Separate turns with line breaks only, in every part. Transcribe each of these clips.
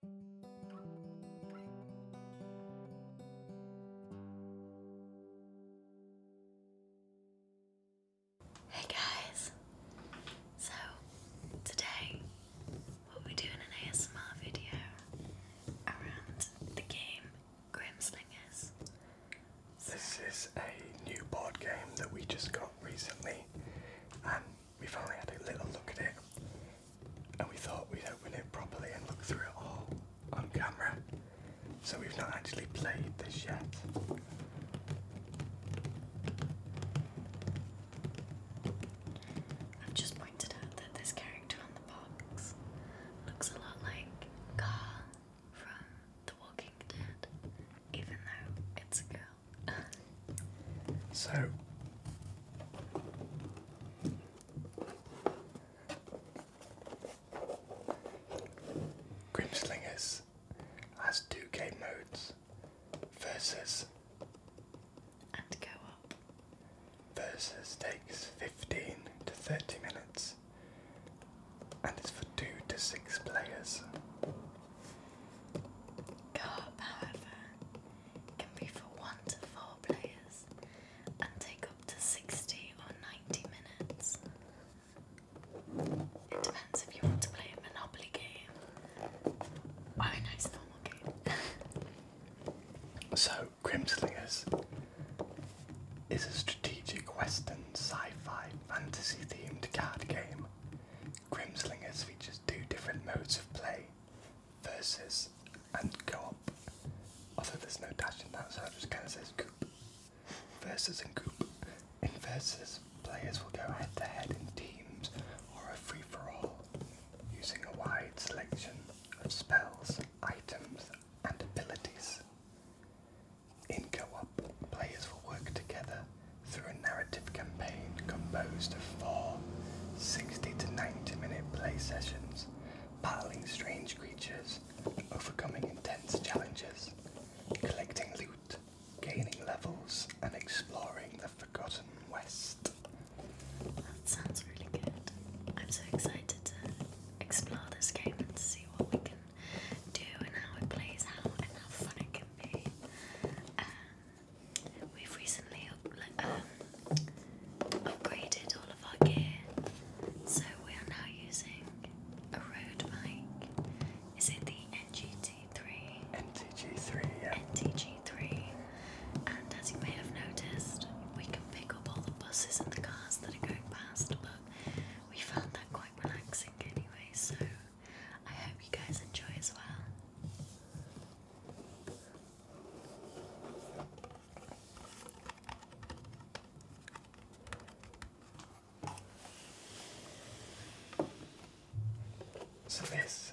Hey guys, so today we'll be doing an ASMR video around the game Grimslingers. So. This is a new board game that we just
got recently, we finally had a little look at it and we thought we'd open it properly and look through it all on camera. So we've not actually played this yet.
I've just pointed out that this character on the box looks a lot like Carl from The Walking Dead, even though it's a girl. So
Grimslingers has two game modes versus and go up. Versus takes 15 to 30 minutes and it's for 2 to 6 players.
Go up, however, can be for 1 to 4 players and take up to 60 or 90 minutes.
It depends if you want to play a Monopoly game or a nice normal game. so, Grimslingers is a strategic western sci fi fantasy themed card game. Grimslingers features two different modes of play versus and co-op. Although there's no dash in that, so it just kind of says coop. Versus and coop. In versus, players will go head to head in teams or a free for all, using a wide selection of spells, items, and abilities. In co op, players will work together through a narrative campaign composed of four 60 to 90 minute play sessions, battling strange creatures, overcoming intense challenges, collecting loot, gaining levels,
and exploring the Forgotten West. That sounds really good. I'm so excited to explore this game and see what we can do and how it plays out and how fun it can be. Um, We've recently um, upgraded all of our gear, so we are now using a road mic. Is it the NGT3? NTG3, yeah. NTG3. And as you may have noticed, we can pick up all the buses and the cars that are going past, but we found that quite relaxing anyway, so I hope you guys enjoy as well.
So this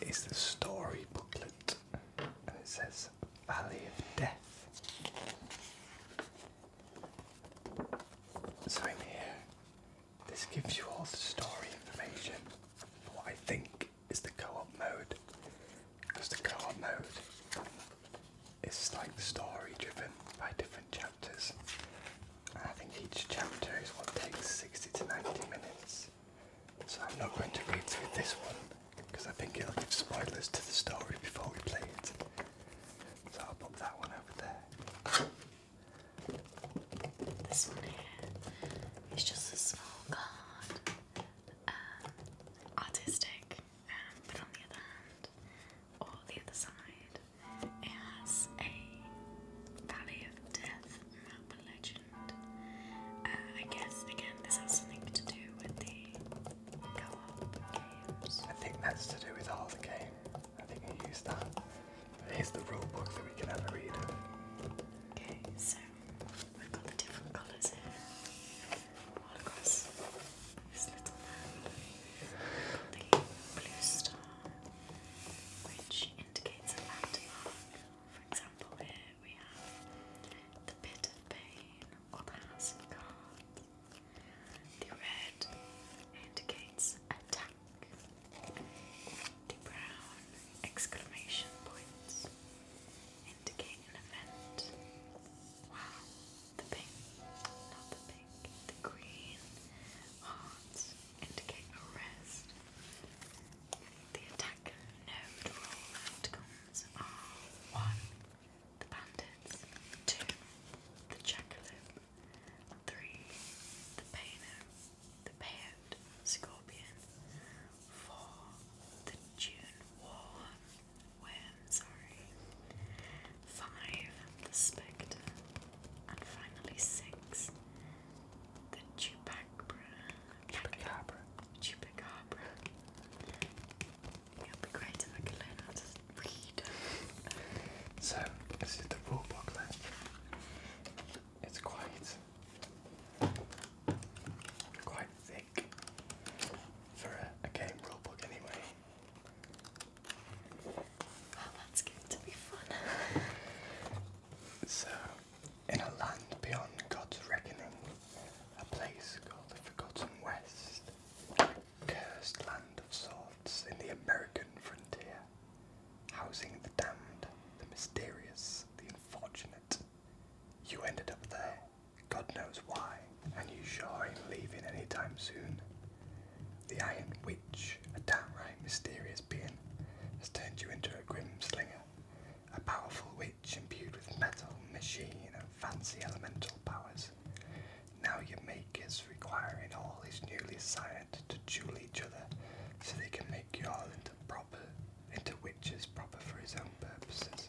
is the story booklet, and it says Valley of Death. So in here this gives you all the story information for what I think is the co-op mode. Because the co-op mode is like story driven by different chapters. I think each chapter is what takes 60 to 90 minutes. So I'm not going to read through this one because I think it'll give spoilers to the story before we play it. So I'll put that one over
there. This one here is just a small card, uh, artistic, um, but on the other hand, or the other side, it has a Valley of Death map legend. Uh, I guess, again, this has something to do with the co op games. I think that's to
do with all the game. I think I used that. Here's the rule book that we can ever read.
Okay, so we've got the different colours this little map. the blue star, which indicates a landmark. For example, here we have the pit pain or the house of The red indicates a black brown exclamation points indicate an event. Wow, the pink, not the pink, the green hearts indicate a The attack node roll are 1. The bandits, 2. The jackalope, 3. The paino, the Payot Scorpion, for the June War Worm, sorry, five, the Spectre, and finally six, the Chupacabra. Chupacabra. Chupacabra. It would be great
if I could learn how to read. so, this is the rule booklet it's quite quite thick for a, game rulebook anyway. Well, oh, that's going to be fun. so, in a land beyond God's reckoning, a place called the Forgotten West, cursed land of sorts in the American frontier, housing the damned, the mysterious, the unfortunate. You ended up there, God knows why, and you sure ain't leaving any time soon. The Iron Witch, a downright mysterious being, has turned you into a Grim Slinger, a powerful witch imbued with metal, machine, and fancy elemental powers. Now your maker's requiring all his newly assigned to duel each other so they can make you all into proper into witches proper for his own purposes.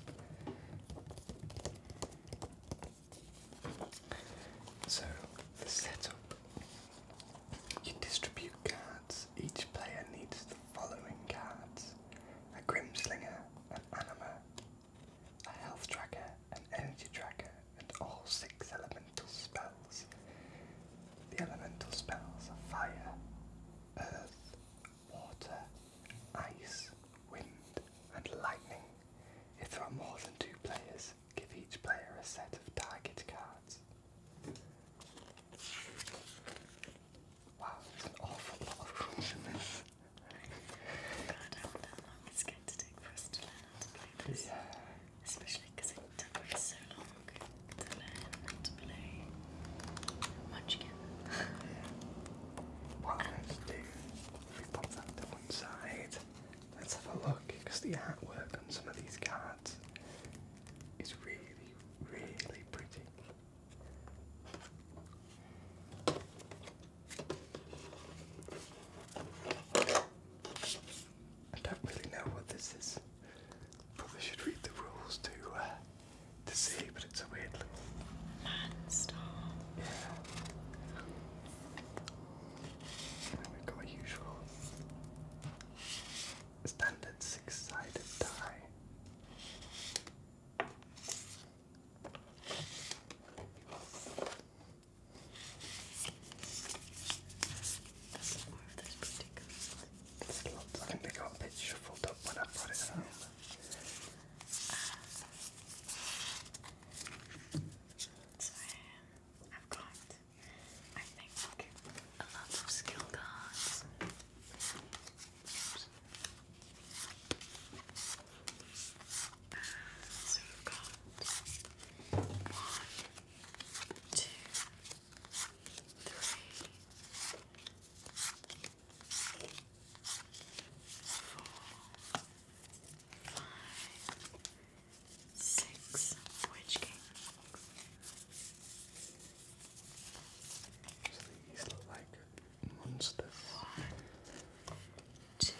So, the setup you distribute cards. Each player needs the following cards a Grimslinger, an Anima, a Health Tracker, an Energy Tracker, and all six elemental spells. The elemental spells of fire, earth, water, ice, wind, and lightning. If there are more than two players, give each player a set of target cards.
Wow, there's an awful lot of rules in this. God, how long it's going to take for because it took me let's have
a look because the artwork on some of these cards is really, really pretty. I don't really know what this is. Probably should read the rules to uh, to see, but it's a weird little man Yeah. we've got our usual standard six-sided die. That's more of this particular I think they got a bit shuffled up when I put it home. so I've got, I think, a lot of skill cards.
So we've got one, two, three, four, five, six Witch Kings.
These look like monsters. One, two,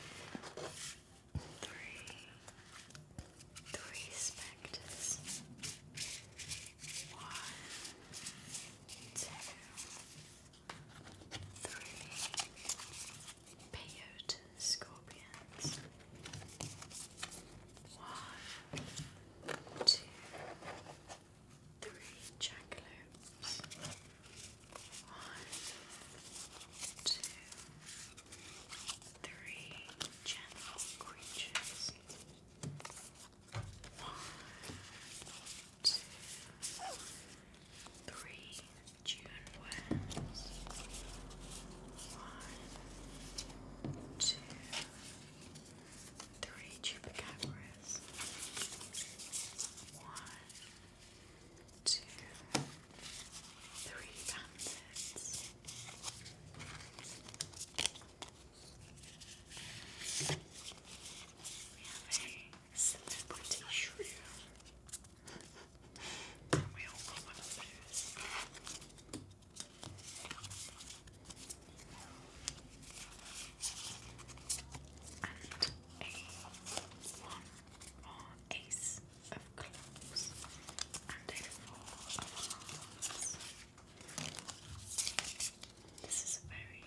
three,
three spectres. One, two, three. Peyote scorpions. One, two, three jackalopes. One, two, three general creatures. One, two, three June One, two, three chupacabras. One, two,
three bandits. We have a center pointed shrew. And we all got one of And a one or ace of clubs and a four this is a very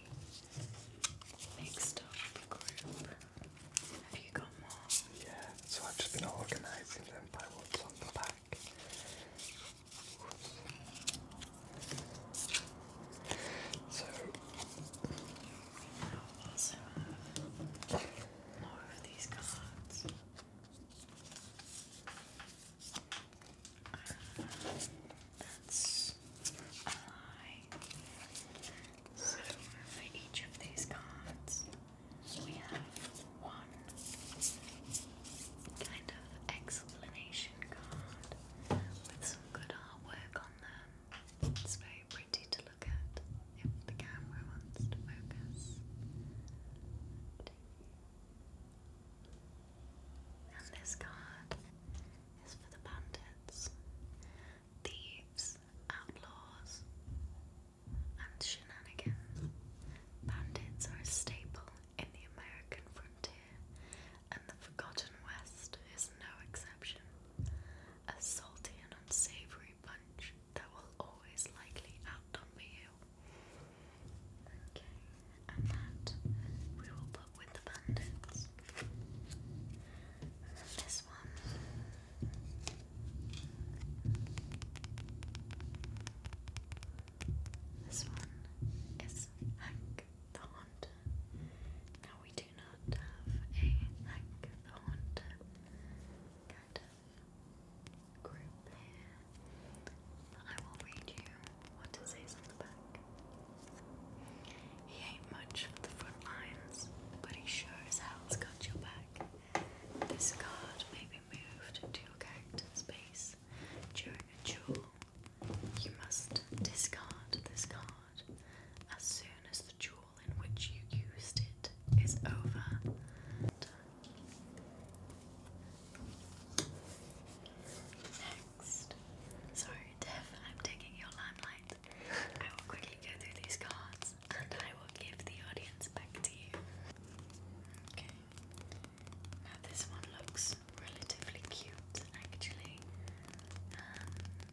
mixed up group. Have you got more? Yeah, so I've just been organising them by what's on the back. So I also have more of these cards.
Um, that's a lie. So for each of these cards, we have one kind of explanation card with some good artwork on them. It's very pretty to look at if the camera wants to focus. And this card is for the bandits, thieves, outlaws, and shenanigans. Bandits are a staple in the American frontier, and the Forgotten West is no exception. A salty and unsavory bunch that will always likely outnumber you Okay, and that we will put with the this one. This one is Hank the Haunter. Now we do not have a Hank the Haunter kind of group I will read you what on the back. He ain't much for the front lines, but he sure as hell's got your back. This card may be moved to your character's base during a duel. You must discard this card as soon as the duel in which you used it is over. Next. Sorry, Dev, I'm taking your limelight. I will quickly go through these cards and I will give the audience back to you. Okay. Now this one looks relatively cute actually. Um,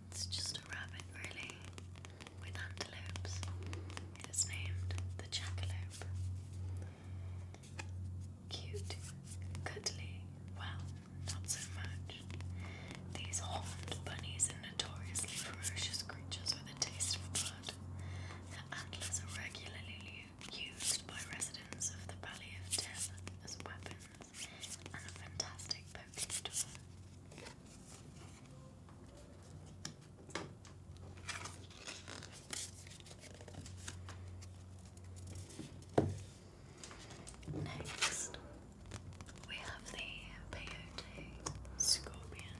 it's just a rabbit really with antelopes. It is named the jackalope. Cute, cuddly, well, not so much. These horned bunnies are notoriously ferocious creatures with a taste for blood. Their antlers are regularly used by residents of the Valley of Death as weapons and a fantastic poking Next, we have the peyote scorpion.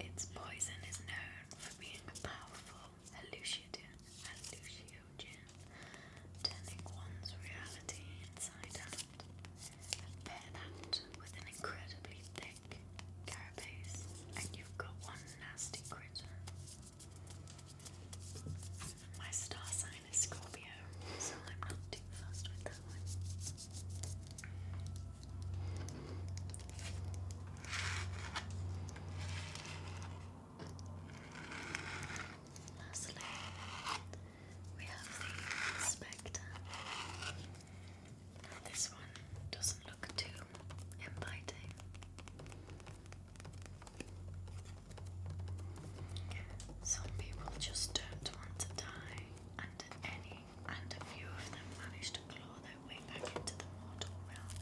Its poison is known for being a powerful hallucinogen, hallucinogen one's reality inside out a bayonet with an incredibly thick carapace, and you've got one nasty critter. My star sign is Scorpio, so I'm not too fast with that one. Lastly, we have the Spectre. This one doesn't look too inviting. Some people just don't want to die, and a few of them manage to claw their way back into the mortal realm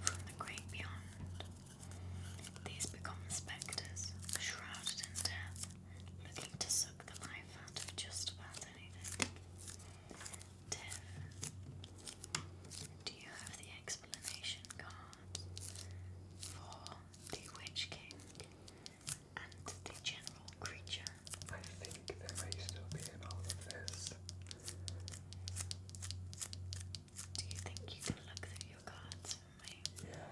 from the great beyond. These become spectres, shrouded in death, looking to suck the life out of just about anything. Dev, do you have the explanation card for the Witch King and the general creature? I think there may still be in all of this. Do you think you can look through your cards only. Yeah.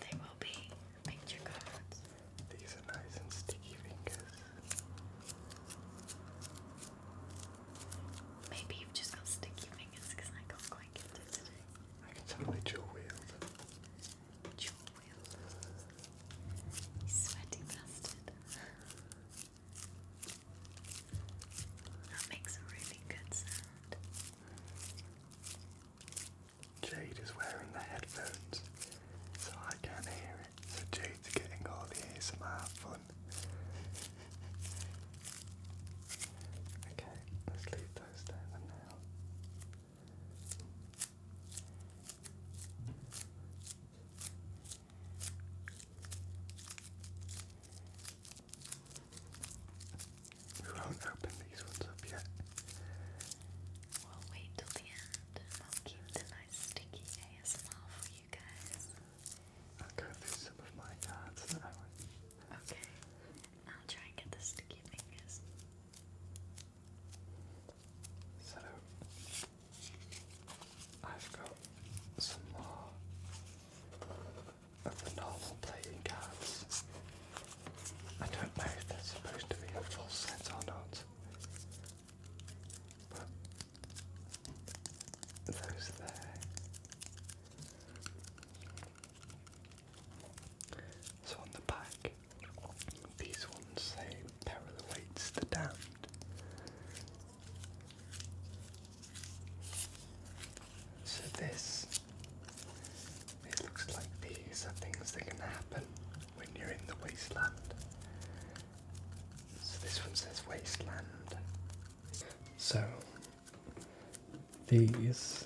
They will be picture cards. These are nice and sticky fingers. Maybe you've just got sticky fingers because I can quite get today. I can totally dual wield. Dual wield. sweaty bastard. That makes a really good sound.
Jade is wearing the headphones, so I can't hear it. So Jade's getting all the ASMR fun. Okay, let's leave those there now. We won't open these ones up yet. We'll wait till the end. I'll keep the nice sticky
ASMR for you guys. I'll go through some of my cards now. Okay. I'll try and get the sticky fingers. So,
I've got some more of the normal playing cards I don't know if that's supposed to be a full set or not. those there. So on the back, these ones say peril the damned. So this it looks like these are things that can happen when you're in the wasteland. So this one says wasteland. So these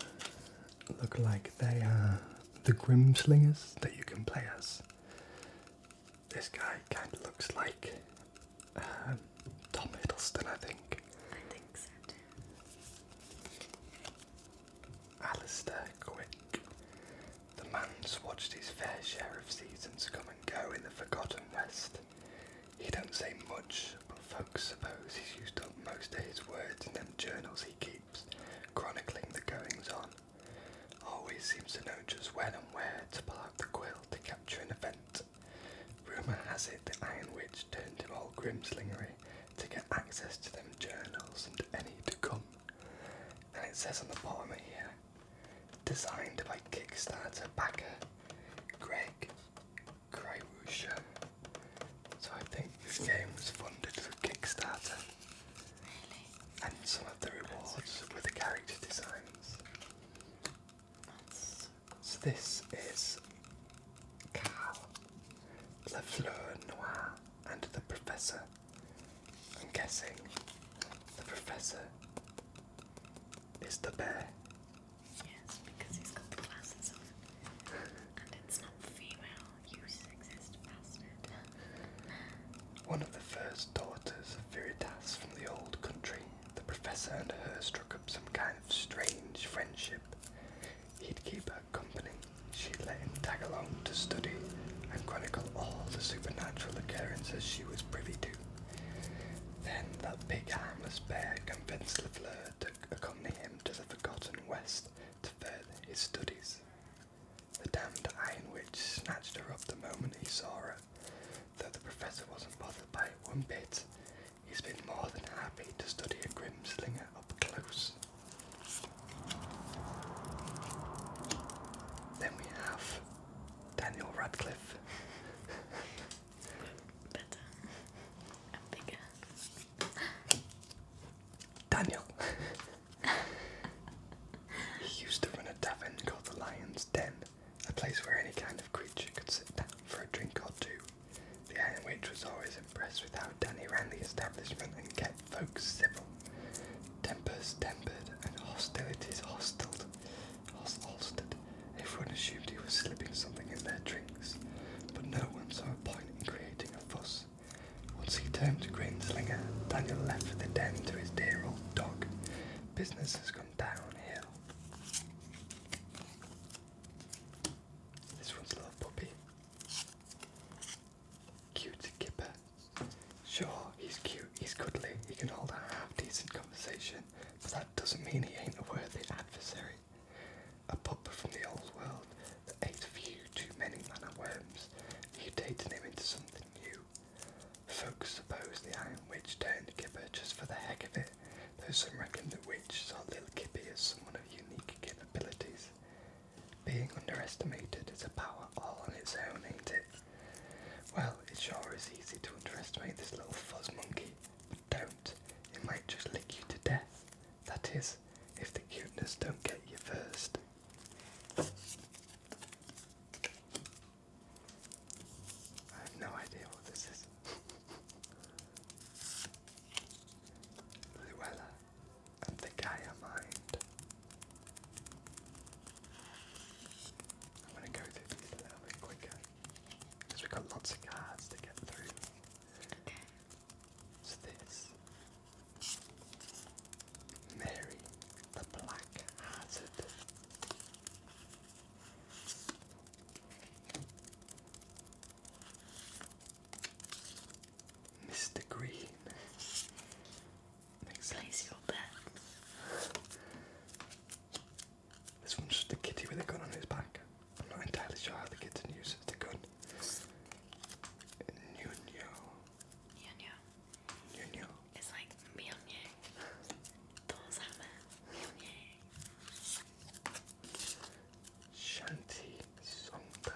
look like they are the Grimslingers that you can play as. This guy kind of looks like uh, Tom Hiddleston, I think. I think so Alister Quick. The man's watched his fair share of seasons come and go in the Forgotten West. He don't say much, but folks suppose he's used up most of his words in them journals he keeps, chronicling the goings on. Always seems to know just when and where to pull out the quill to capture an event. Rumour has it the Iron Witch turned him all grimslingery to get access to them journals and any to come. And it says on the bottom here, designed by Kickstarter backer Greg Krywusha. So I think this game was funded through Kickstarter. And some of the rewards were the character designs. So this is La Fleur Noir and the professor. I'm guessing the professor is the bear. Yes, because he's got the glasses on. And it's not
female, One of the first daughters of Viritas from the old country,
the professor and her struck up some kind of strange friendship. He'd keep her company, she let him tag along to study and chronicle all the supernatural occurrences she was privy to. Then that big harmless bear convinced Lafleur to accompany him to the Forgotten West to further his studies. The damned Iron Witch snatched her up the moment he saw her.
Though the professor wasn't bothered by it one bit, he's been more than happy to study a
grim slinger up close then we have Daniel Radcliffe. Better. bigger. Daniel. he used to run a tavern called the Lion's Den, a place where any kind of creature could sit down for a drink or two, the Iron Witch was always impressed with how Danny ran the establishment and kept folks civil. Tempers tempered and hostilities hostiled. Host Everyone assumed he was slipping something in their drinks, but no one saw a point in creating a fuss. Once he turned to Grinslinger, Daniel left for the den to his dear old dog. Business has gone downhill. This one's a little puppy. Cute Kipper. Sure, he's cute, he's goodly, he can hold a half decent conversation, but that doesn't mean he ain't a worthy adversary. A pup from the old world that ate few too many manor worms, mutating him into something new. Folks suppose the Iron Witch turned Kipper just for the heck of it, though some reckon the witch saw little Kippy as someone of unique capabilities. Being underestimated is a power all on its own, ain't it? Well, it sure is easy to underestimate this little fuzz monkey, don't. It might just lick you to death. That is, if the cuteness don't get you first. I have no idea what this is. Luella, and the Gaia mind. I'm going to go through these a little bit quicker we've got lots of cards to get through. So this Mary the Black Hazard. Mr. Green. Makes Place your bet. This one's just kitty with a gun on his back. I'm not entirely sure how the kitten uses the gun.
Nuno. Nuno. Nuno. It's like Mjolnir. Thor's hammer. Shanty Songbird.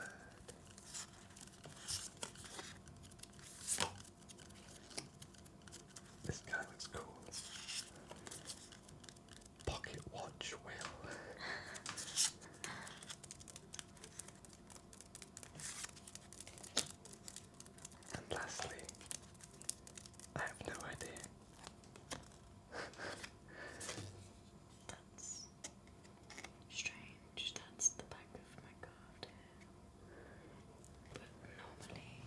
This guy looks cool. Pocket watch whale. and lastly, I have no idea.
That's Strange, that's the back of my card But normally,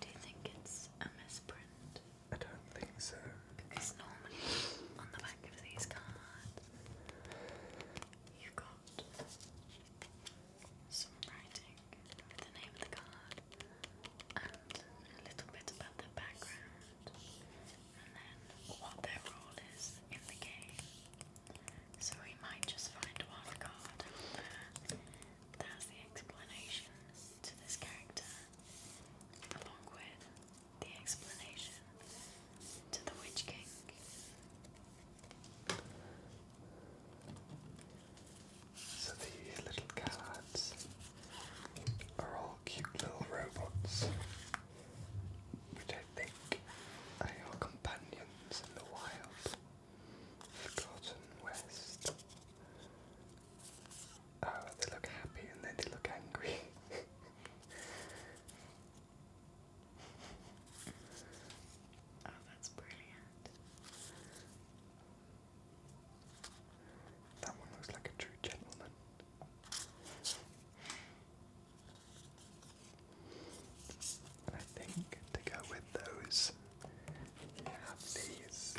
do you think it's a misprint? I don't think so. Because normally, on the back of these cards, you've got some writing the name of the card and a little bit about the background and then what their role is in the game. So we might just find one card out the explanation to this character, along with the explanation to the Witch King.
So the little cards are all cute little robots, which I think are companions in the wild. Forgotten West. Oh, they look happy and then they look angry. oh, that's brilliant. That one looks like a true gentleman. And I think to go with those, you have these,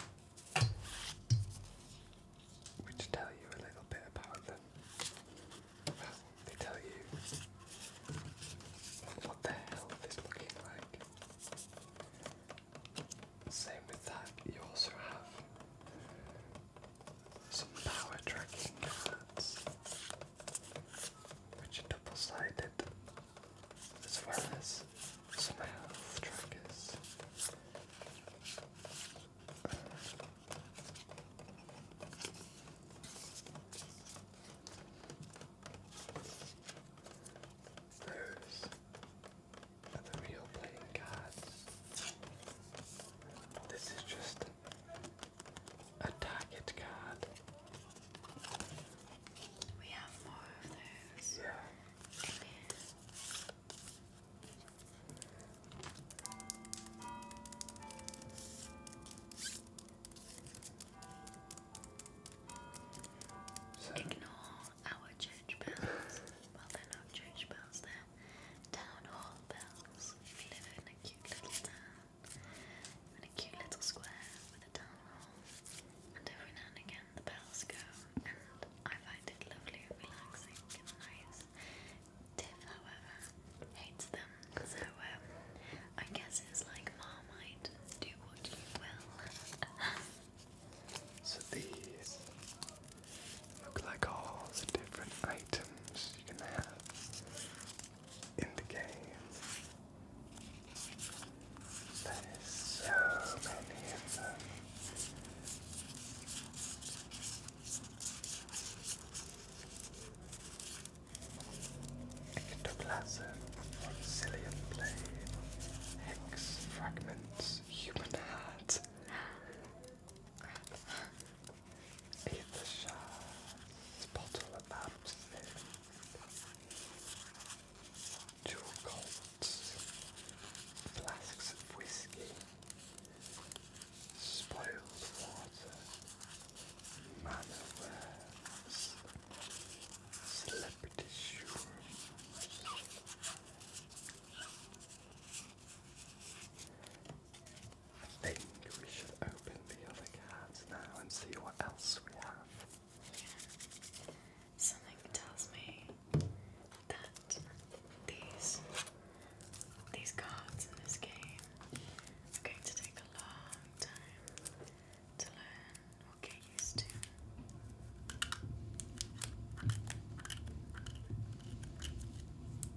which tell you a little bit about them. they tell you what their health is looking like. Same with that, you also have some power tracking cards, which double sided, as well as some health trackers. those are the real playing cards. This is just a target card.
We have more of those. Ignore our church bells. well, they're not church bells, they town hall bells. If live in a cute little town, in a cute little square with a town hall, and every now and again the bells go, and I find it lovely and relaxing and nice. Tiff, however, hates them, so um, I guess it's like Marmite, do what you will. so these Look like all the
different items you can have in the game. There's so many of them. Ectoplasm, Sillian Blade, Hex Fragments, Human Heart. Eat the shards, bottle of absinthe, jewel colts, flasks of whiskey, spoiled water, manor wares, celebrity I think we should open the other
cards now and see what else we have. Something tells me that these these cards in this game are going to take a long time to learn or get used to.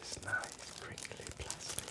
This nice crinkly plastic.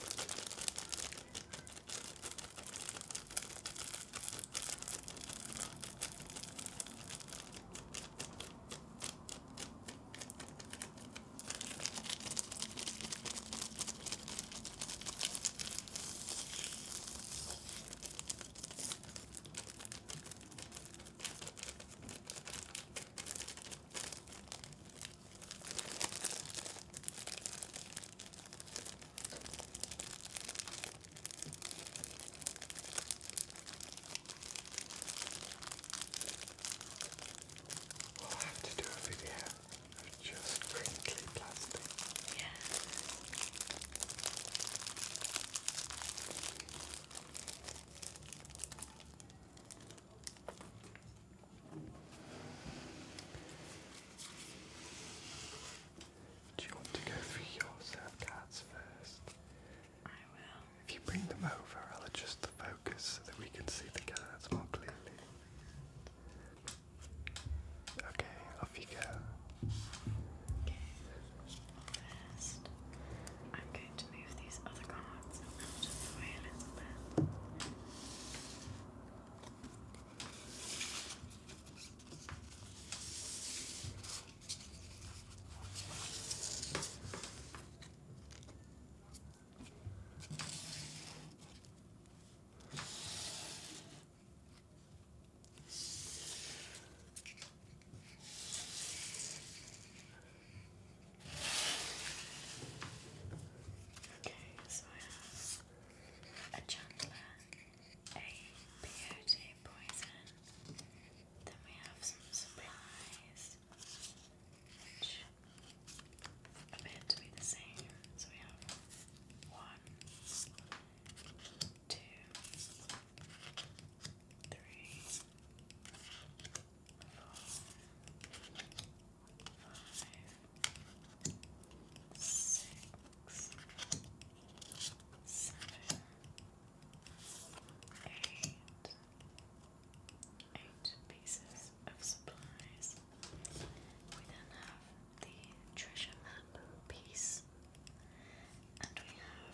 We'll have to do a video of just crinkly plastic. Yeah. Do you want to go through your serve first? I will. If you bring them over, I'll adjust the focus so that we can see the cards more clearly. Okay, off you go. Okay list. I'm going to move these other cards out of the way a little bit.
Okay, so I have a chandler, a peyote poison, then we have some supplies, which appear to be the same. So we have one, two, three, four, five, six, seven, eight, eight pieces of supplies. We then have the treasure map piece, and we have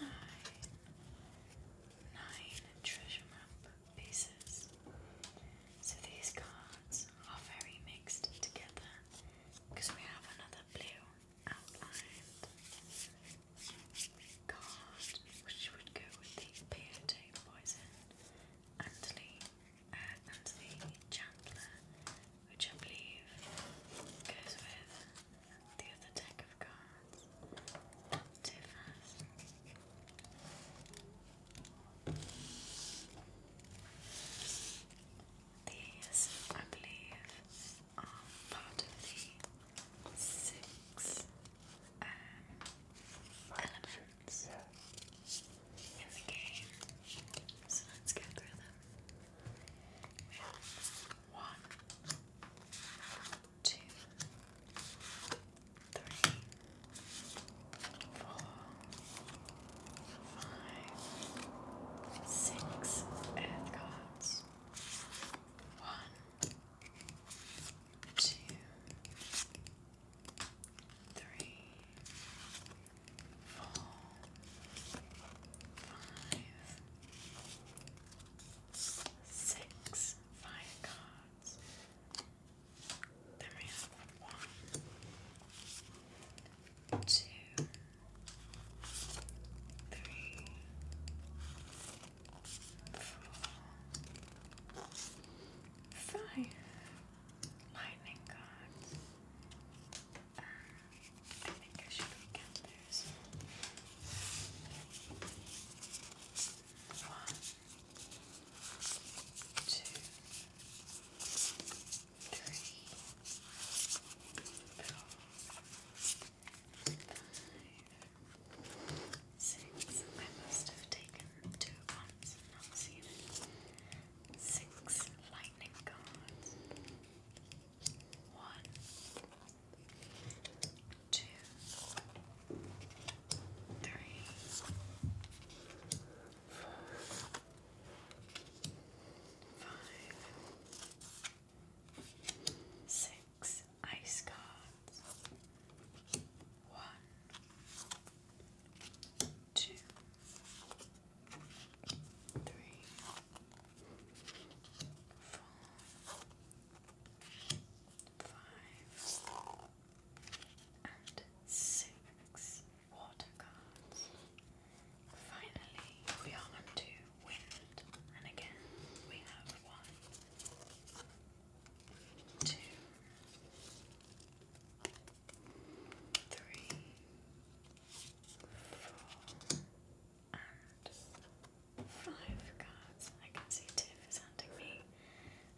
nine, nine treasure map pieces. So these cards are very mixed together because we have another blue outlined card which would go with the peyote poison and uh, and chandler which I believe goes with the other deck of cards. These, I believe, are part of the six um, elements in the game. So let's go through them. One, two, three, four, five, six earth cards. One, two, three, four, five six fire cards. Then we have one, two, three, four, five lightning cards. I think One, two, three, four, five, six. I must have taken two at and not seen it. Six lightning cards. One, two, three, four, five, six ice cards. One, two, three, four, five, and six water cards. Finally, we are on wind, and again we have one, two, three, four, five, and five cards. I can see Tiff is handing me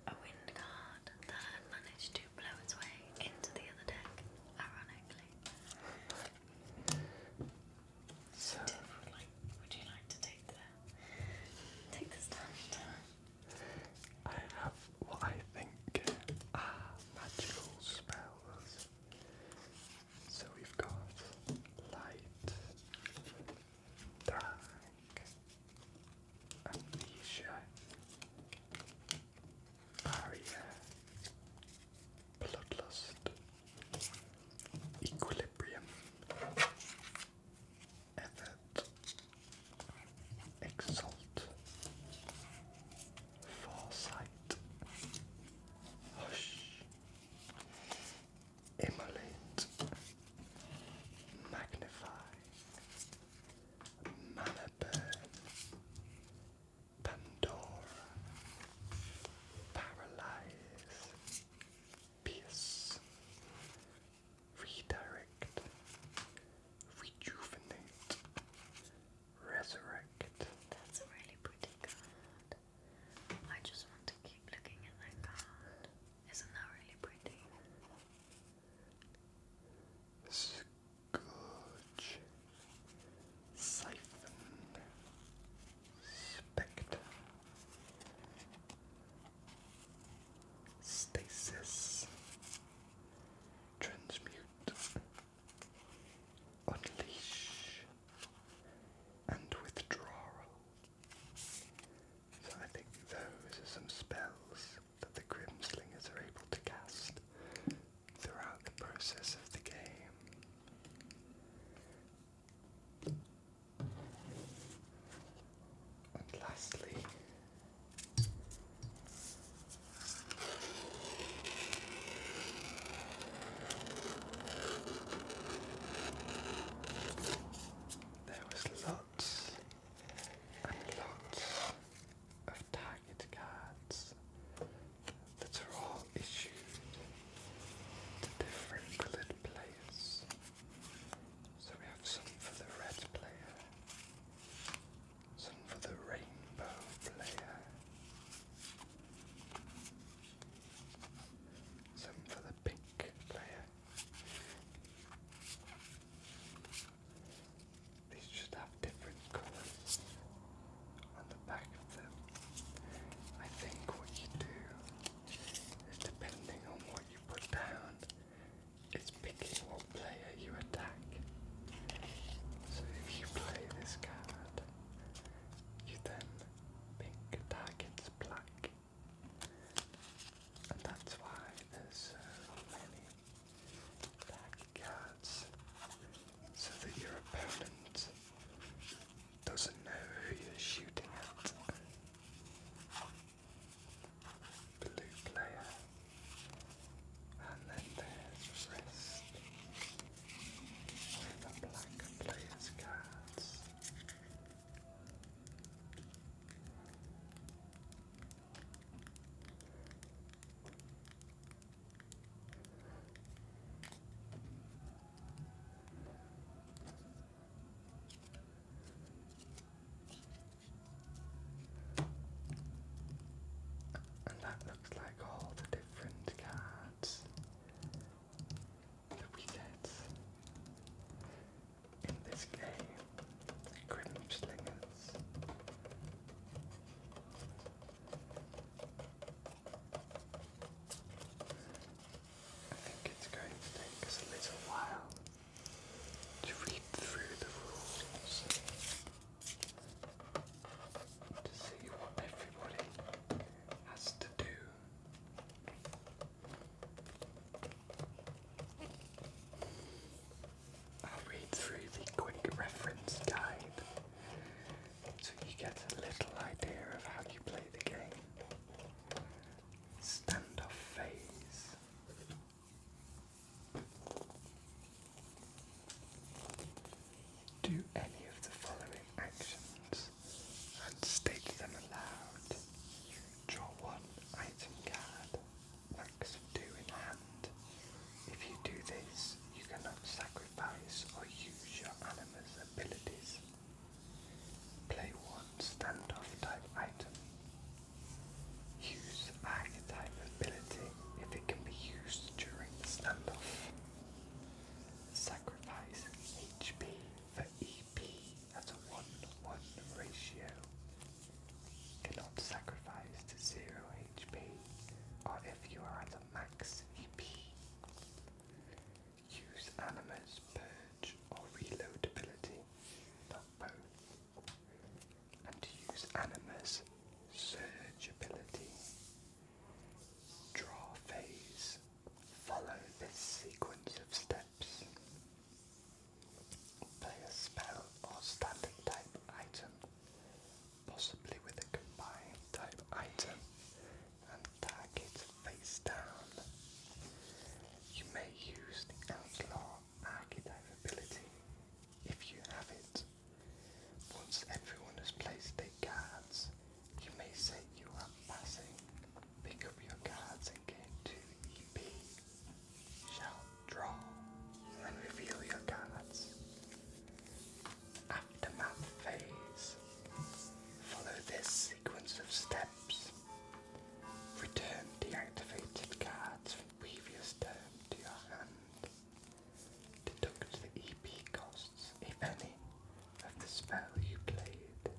a wind card that I managed to blow its way into the other deck, ironically. Tiff would like would you like to take the take the stand? I have what I think are magical spells. So
we've got light, dark, amnesia, barrier, bloodlust, equilibrium, effort, exalt, foresight, hush. Immolate, Magnify, Mannerburn,
Pandora, Paralyze,
Pierce, Redirect, Rejuvenate,
Resurrect. That's really pretty card. I just want to keep looking at that card. Isn't that really pretty? Scourge,
Siphon, Spectre, Stasis, Transmute, Unleash, and withdrawal. So I think those are some spells that the Grimslingers are able to cast throughout the process of the game. And lastly, there was lots and lots of target cards that are all issued to different coloured players. So we have some for the red player, some for the rainbow player, some for the pink player. These just have different colours on the back of them. I think what you do is depending on what you put down, it's picking what player you attack. So if you play this card, you then pink targets black. And that's why there's so many black cards. So that your opponent doesn't know who you're shooting at. Blue player. And then there's wrist the black players cards. And that looks like all the different cards the weekends. In this game, Slingers. I think it's going to take us a little while to read through the rules to see what everybody has to do I'll read through the quick reference guide so you get a little idea of how you play the game. Standoff phase. Do any of the following actions and state them aloud. Draw one item card, max of two If you do this, you cannot sacrifice or use your animus abilities. Play one standoff type item. Use archetype ability if it can be used during the standoff. Sacrifice HP for EP that's a 1 1 ratio. Cannot sacrifice to 0 HP or if you are at a max EP. Use Animus, Purge, or Reloadability, not both. And use Animus, Surge ability. Draw phase Follow this sequence of steps. Play a spell or standard type item, possibly with a combined type item, and target face down. You may use the Outlaw Archetype ability if you have it. Once everyone has placed their cards, you may say you are passing. Pick up your cards and gain two EP. Shall draw and reveal your cards. Aftermath phase. Follow this sequence of steps. Return deactivated cards from previous turn to your hand. Deduct the EP cost if any, of the spell you played.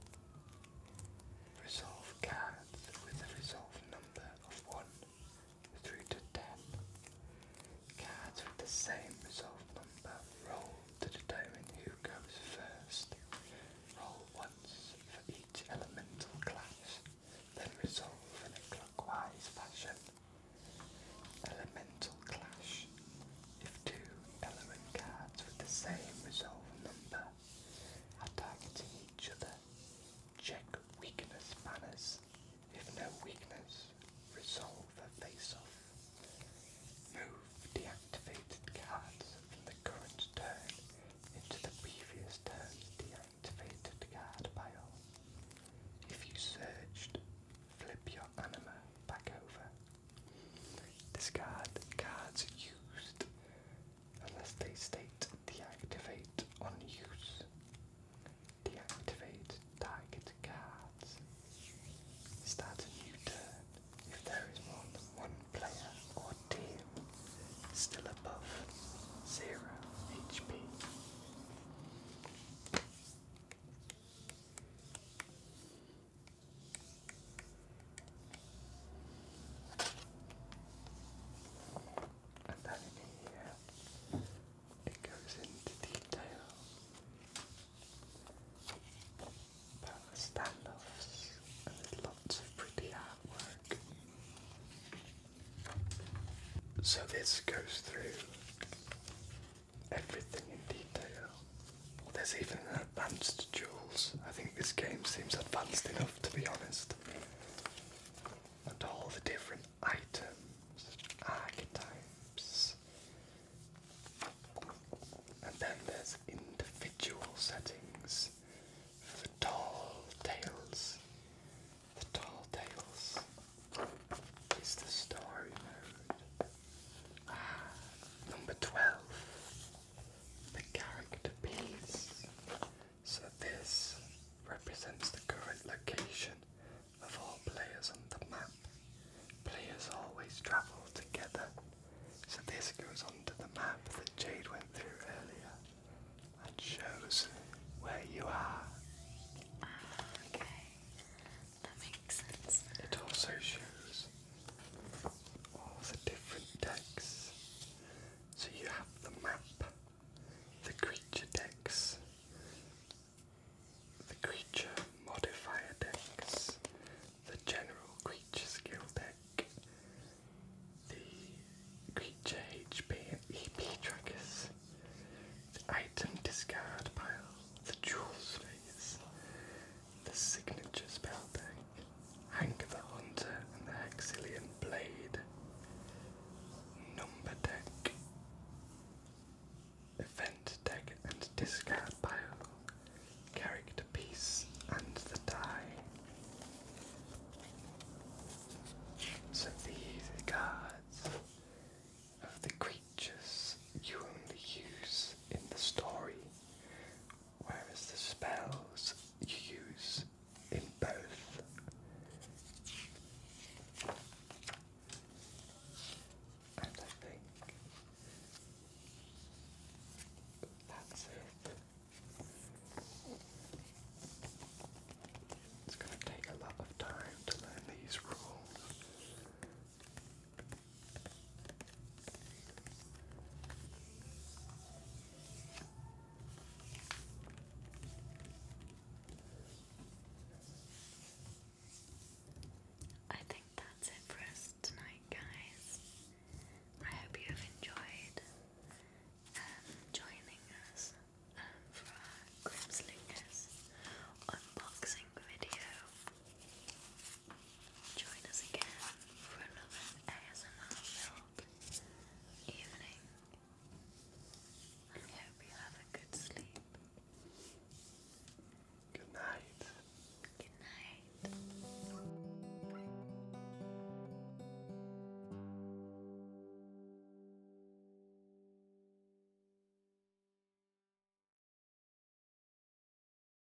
Resolve cards with a resolve number of 1 through to 10. Cards with the same resolve number roll to determine who goes first. Roll once for each elemental class, then resolve in a clockwise fashion. Elemental Clash if two element cards with the same resolve number are targeting each other, check weakness banners. If no weakness, resolve a face Move deactivated cards from the current turn into the previous turn's deactivated card pile. If you searched, flip your anima back over Discard cards used unless they state deactivate on use. Deactivate target cards. Start a new turn if there is more than one player or team still above zero HP. And then here, it goes into detail about the standoffs, and lots of pretty artwork. So this goes through everything in detail there's even an advanced jewels. I think this game seems advanced enough to be honest. And all the different items, archetypes. And then there's individual settings for the tall tales. The tall tales is the story mode. Ah, number 12 the character piece. So this represents the current location of all players on the map. Players always travel together. So this goes onto the map that
Jade went through earlier and shows where you are. Ah, okay.
That makes it also shows all the different decks. So you have the map, the creature decks, the creature modifier decks, the general creature skill deck, the creature HP and EP trackers, the item discard pile, the jewels phase, the signature spellback, Hank the Hunter and the Hexilian Blade, Number Deck, Event Deck and Discard Pile, Character Piece and the Die. So these cards of the creatures you only use in the story whereas the spells you use in both. I think that's it. It's going to take a lot of time to learn these rules.
I think that's it for us tonight, guys. I hope you have enjoyed um, joining us um, for our Grimslingers unboxing video. Join us again for another ASMR filled evening. I hope you have a good sleep. Good night. Good night.